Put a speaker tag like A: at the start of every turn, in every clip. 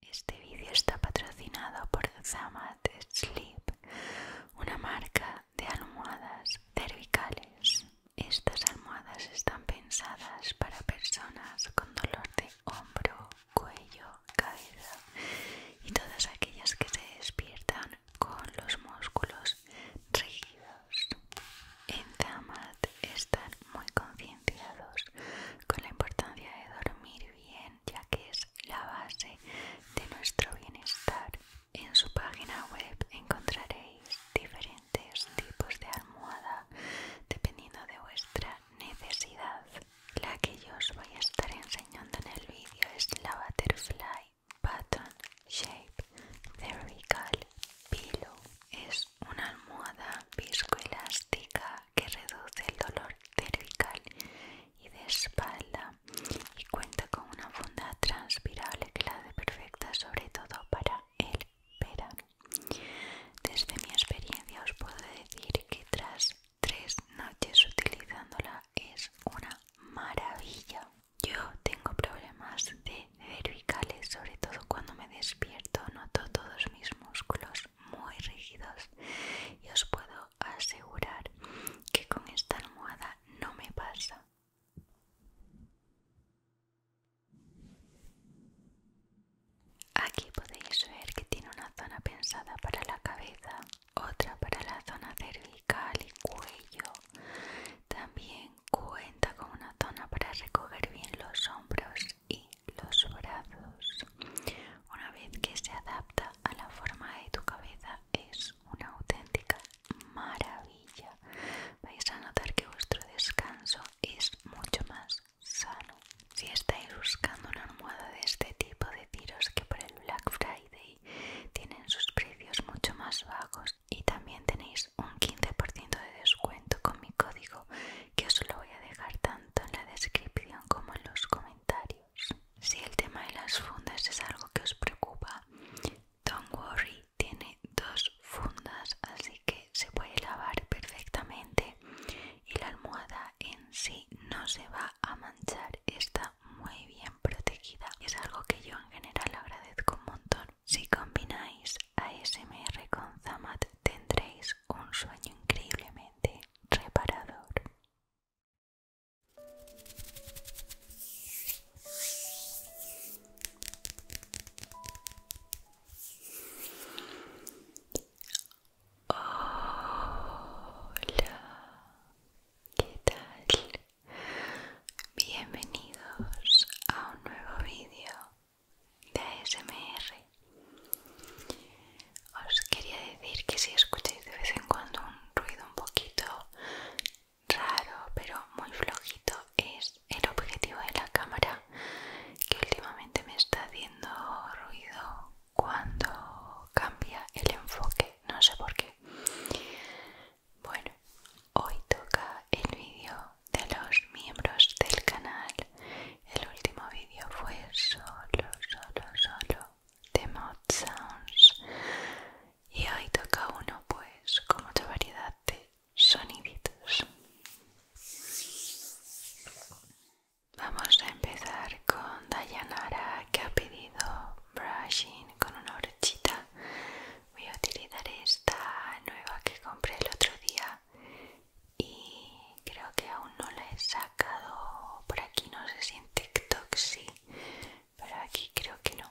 A: Este vídeo está patrocinado por Zamat Sleep, una marca de almohadas cervicales. Estas almohadas están pensadas para personas con dolor de hombro, cuello, cabeza y todas aquellas que se despiertan con los músculos rígidos. En Zamat están muy conscientes con la importancia de dormir bien, ya que es la base de nuestro bienestar. En su página web encontraréis diferentes tipos de almohada dependiendo de vuestra necesidad. La que yo os voy a estar enseñando en el vídeo es la Butterfly Button Shape Cervical Pillow. Es una almohada viscoelástica que reduce el dolor cervical y de espalda y cuenta con una funda transpirable que la hace perfecta sobre todo para el verano. Desde mi experiencia os puedo decir que tras tres noches utilizándola es una maravilla. Yo tengo problemas de cervicales, sobre todo cuando me despierto noto todos mis músculos muy rígidos y os puedo asegurar que con esta almohada no me pasa. Aquí podéis ver que tiene una zona pensada para la cabeza, otra para la zona cervical y cuello. También cuenta con una zona para recoger bien los hombros y los brazos. Una vez que se adapta a la forma de tu cabeza es una auténtica maravilla. Vais a notar que vuestro descanso es mucho más sano. Si estáis buscando una almohada de este tipo, tiros que por el Black Friday tienen sus precios mucho más bajos y también tenéis un 15% de descuento con mi código que os lo voy a dejar tanto en la descripción como en los comentarios. Si el tema de las fundas es algo que os preocupa, don Worry tiene dos fundas, así que se puede lavar perfectamente y la almohada en sí no se va a manchar, está muy bien protegida. Es algo que yo en general agradezco un montón. Si combináis ASMR con Zamat tendréis un sueño increíblemente reparador. Hola, ¿qué tal? Bienvenidos a un nuevo vídeo de ASMR. Os quería decir que si escucháis de vez en cuando un ruido un poquito raro pero muy flojito es el objetivo de la cámara que últimamente me está haciendo ruido cuando cambia el enfoque, no sé por qué. Bueno, hoy toca el vídeo de los miembros del canal el último vídeo fue solo, solo, solo de Mod Sounds. Y hoy toca uno, pues, con mucha variedad de soniditos. Vamos a empezar con Dayanara que ha pedido brushing con una brochita. Voy a utilizar esta nueva que compré el otro día y creo que aún no la he sacado por aquí no sé si en TikTok sí pero aquí creo que no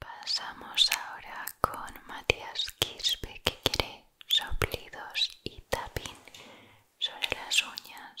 A: Pasamos ahora con Matías Quispe que quiere soplidos y tapín sobre las uñas.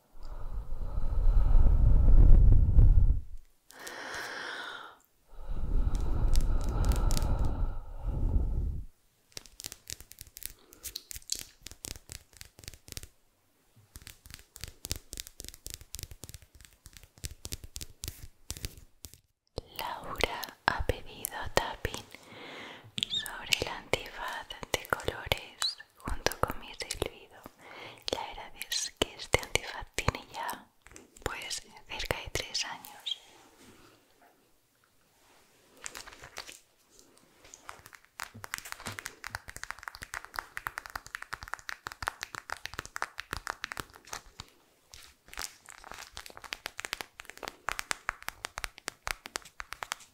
A: Laura ha pedido tapping sobre el antifaz de colores junto con mi silbido, la era vez que este antifaz tiene ya, pues, cerca de tres años.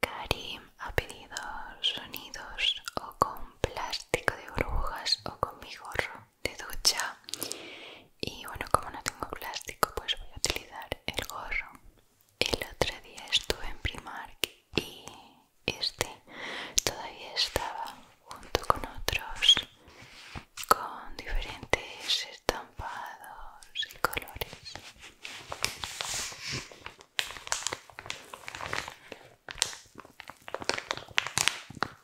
A: Karim ha pedido sonidos o con plástico de burbujas o con mi gorro de ducha y bueno como no tengo plástico pues voy a utilizar el gorro el otro día estuve en Primark y este todavía estaba junto con otros con diferentes estampados y colores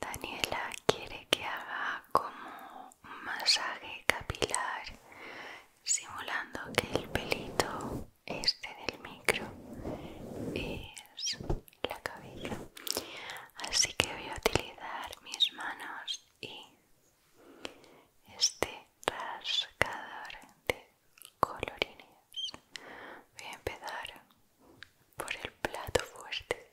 A: Daniela quiere que haga como un masaje capilar simulando que el pelito este del micro es la cabeza así que voy a utilizar mis manos y este rascador de colorines voy a empezar por el plato fuerte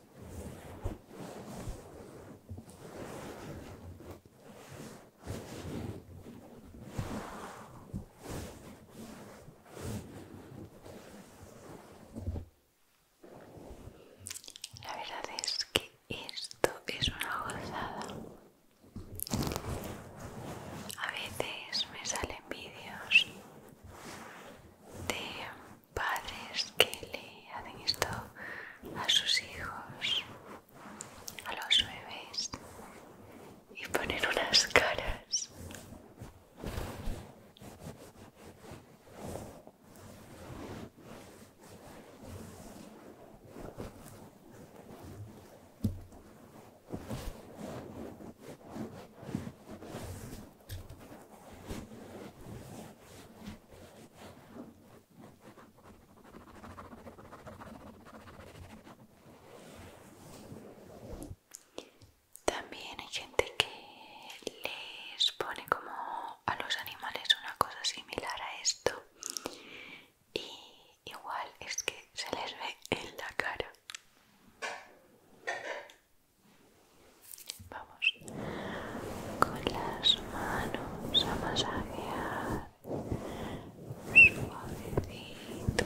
A: La verdad es que esto es una gozada. A veces me salen vídeos de padres que le hacen esto a sus hijos, a los bebés, y ponen unas caras. También hay gente que les pone como a los animales una cosa similar a esto y igual es que se les ve en la cara. Vamos con las manos a masajear suavecito.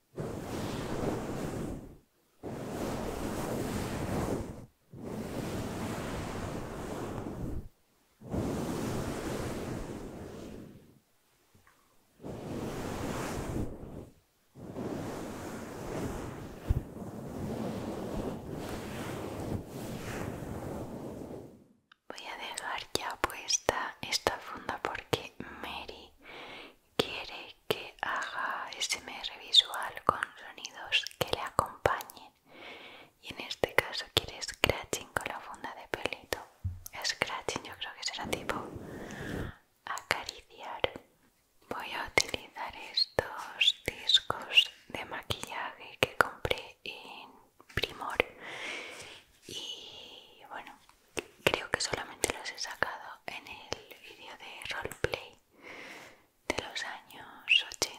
A: Voy a dejar ya puesta esta funda porque Mary quiere que haga SMR visual con sonidos que le acompañen y en este caso quiere scratching con la funda de pelito scratching yo creo que será tipo acariciar voy a utilizar estos discos de maquillaje que compré en primor y bueno creo que solamente los he sacado en el vídeo de roleplay de los años 80.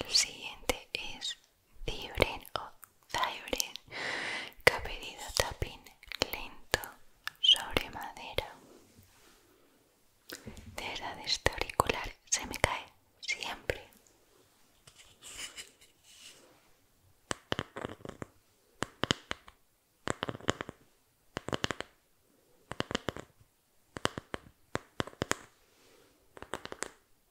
A: El siguiente es Dibren o que ha pedido tapín lento sobre madera. De verdad este auricular se me cae siempre.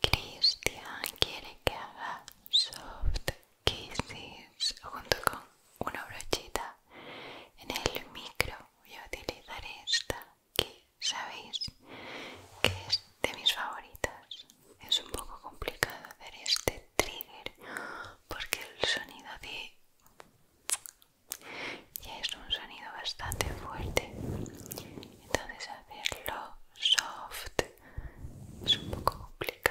A: Cristian quiere que haga soft kisses junto con una brochita en el micro. Voy a utilizar esta que sabéis que es de mis favoritas es un poco complicado hacer este trigger porque el sonido de ya es un sonido bastante fuerte entonces hacerlo soft es un poco complicado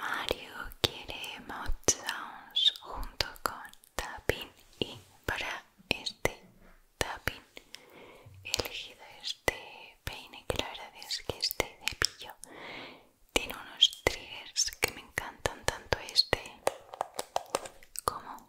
A: Mario quiere mouth Downs junto con tapping y para este tapping he elegido este peine que la verdad es que este cepillo tiene unos triggers que me encantan tanto este como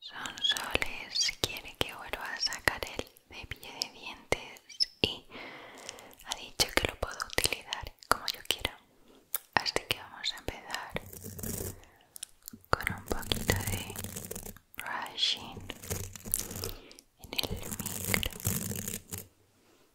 A: Son soles, quiere que vuelva a sacar el cepillo de dientes y ha dicho que lo puedo utilizar como yo quiera. Así que vamos a empezar con un poquito de brushing en el micro.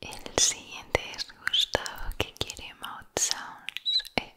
A: El siguiente es Gustavo que quiere mouth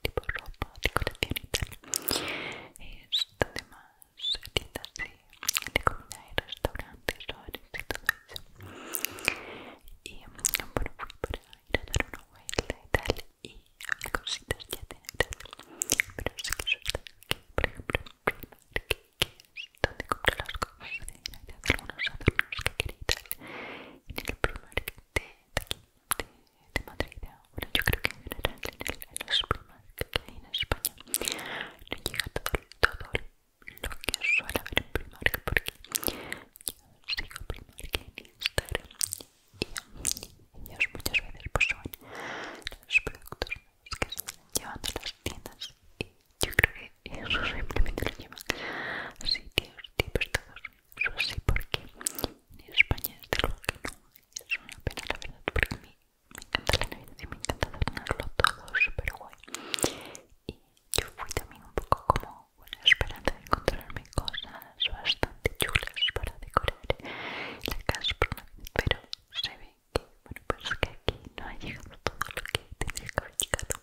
A: tipo ropa, colección y tal. Esto además, tiendas de, restaurantes, y todo eso. Y bueno, para ir a dar una vuelta y tal y las cositas ya Pero sí que por ejemplo, que es donde compro las cosas de, de algunos adornos que quería y tal. En el de, Madrid bueno yo creo que en el, los en España no llega todo, lo que suele haber en Primark porque yo sigo Primark en Instagram y ellos muchas veces pues son los productos nuevos que se están llevando a las tiendas y yo creo que eso simplemente lo llevan sitios, tipos todos eso sí, porque en España de lo que no, es una pena la verdad, porque a mí me encanta la Navidad y me encanta tenerlo todo, súper guay. Y yo fui también un poco como una esperanza de encontrarme cosas bastante chulas para decorar la casa pero se ve que, bueno, pues que aquí no ha llegado todo lo que tendría que haber llegado.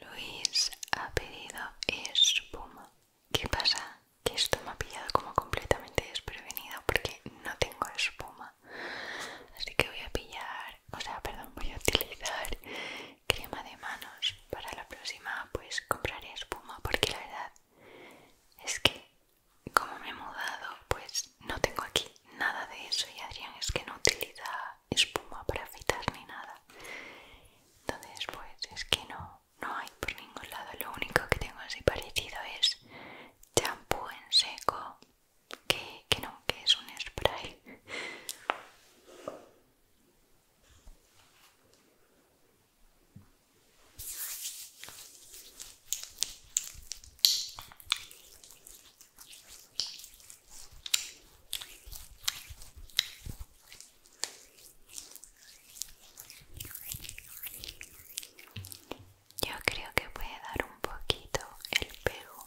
A: Luis ha pedido espuma. ¿Qué pasa? Que esto me ha pillado como completamente desprevenido porque no tengo espuma. Así que voy a pillar, o sea, perdón, voy a utilizar crema de manos. Para la próxima pues compraré espuma porque la verdad es que como me he mudado pues no tengo aquí nada de eso y Adrián es que no utiliza espuma para fitar ni nada entonces pues es que no hay por ningún lado lo único que tengo así parecido es champú en seco que, que no que es un spray yo creo que puede dar un poquito el pego.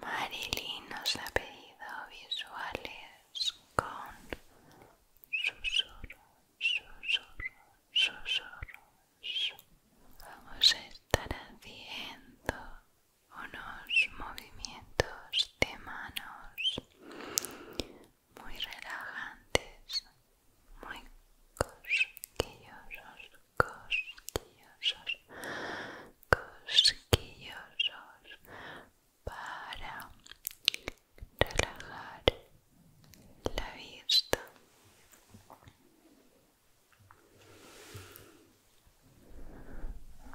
A: Marilyn nos ha pedido visuales con susurros susurros, susurros. Vamos a estar haciendo unos movimientos de manos muy relajantes, muy cosquillosos, cosquillosos, cosquillosos, para relajar la vista.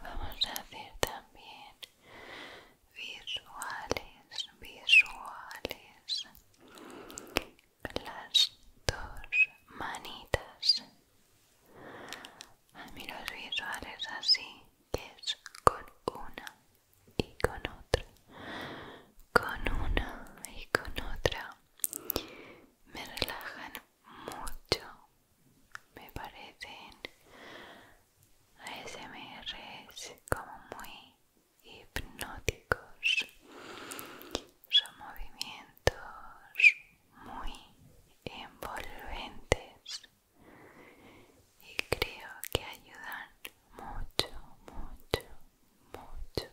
A: Vamos a hacer también visuales, visuales las dos manitas. Ah, a mí los visuales así, es con una y con otra, con una y con otra, me relajan mucho, me parecen ASMRs como muy hipnóticos, son movimientos muy envolventes y creo que ayudan mucho, mucho, mucho,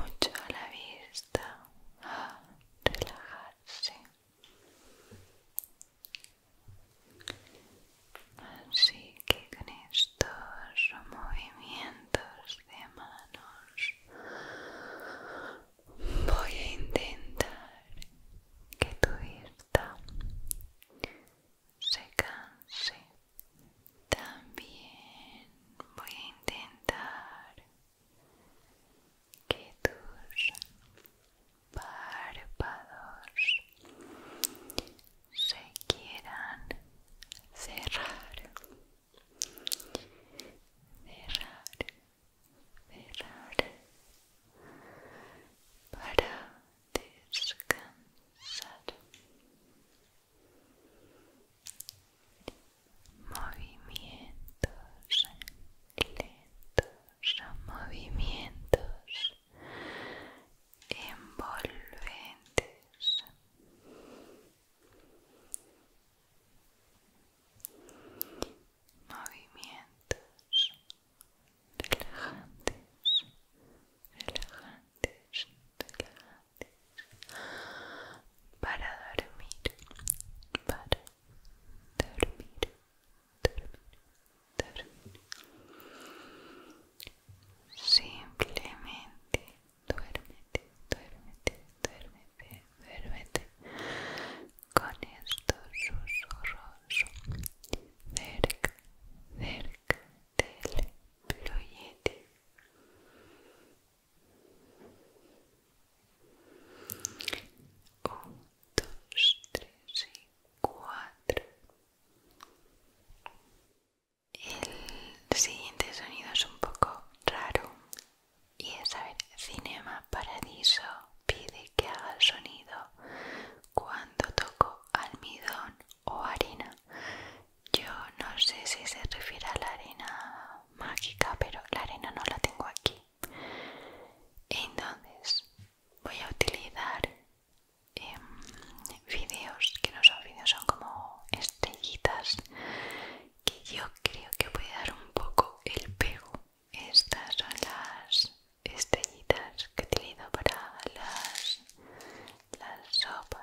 A: mucho a la vista a relajarse. Así que con estos movimientos de manos voy a intentar que tu vista se canse. También voy a intentar que tus párpados se quieran cerrar, cerrar, cerrar para descansar movimientos lentos movimientos envolventes movimientos relajantes, relajantes, relajantes para dormir, para dormir, dormir, dormir. Simplemente duérmete, duérmete, duérmete, duérmete con estos susurros son cerca cerca del proyecto 1, 2, 3 y 4 El siguiente sonido es un poco raro y es a ver Cinema Paradiso pide que haga el sonido cuando toco almidón o harina, yo no sé si se refiere a la arena mágica, pero la arena no la tengo aquí. Entonces voy a utilizar em, vídeos que no son vídeos, son como estrellitas que yo creo que puede dar un poco el pego. Estas son las estrellitas que tenido para las, las sopas.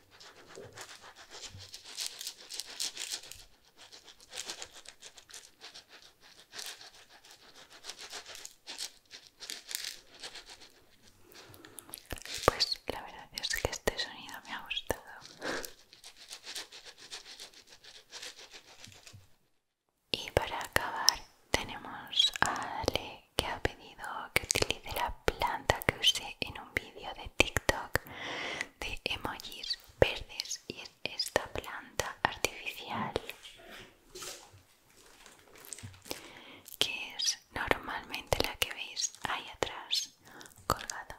A: Pues la verdad es que este sonido me ha gustado. Y para acabar tenemos a Ale que ha pedido que utilice la planta que usé en un un vídeo de TikTok de emojis verdes y esta planta artificial que es normalmente la que veis ahí atrás colgada.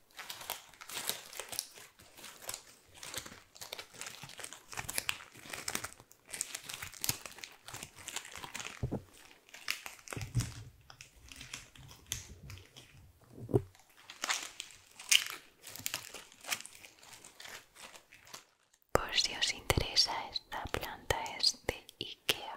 A: Por si os interesa, esta planta es de Ikea.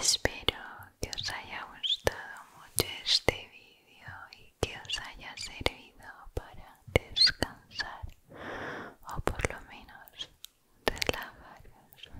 A: Espero que os haya gustado mucho este vídeo y que os haya servido para descansar o por lo menos relajaros.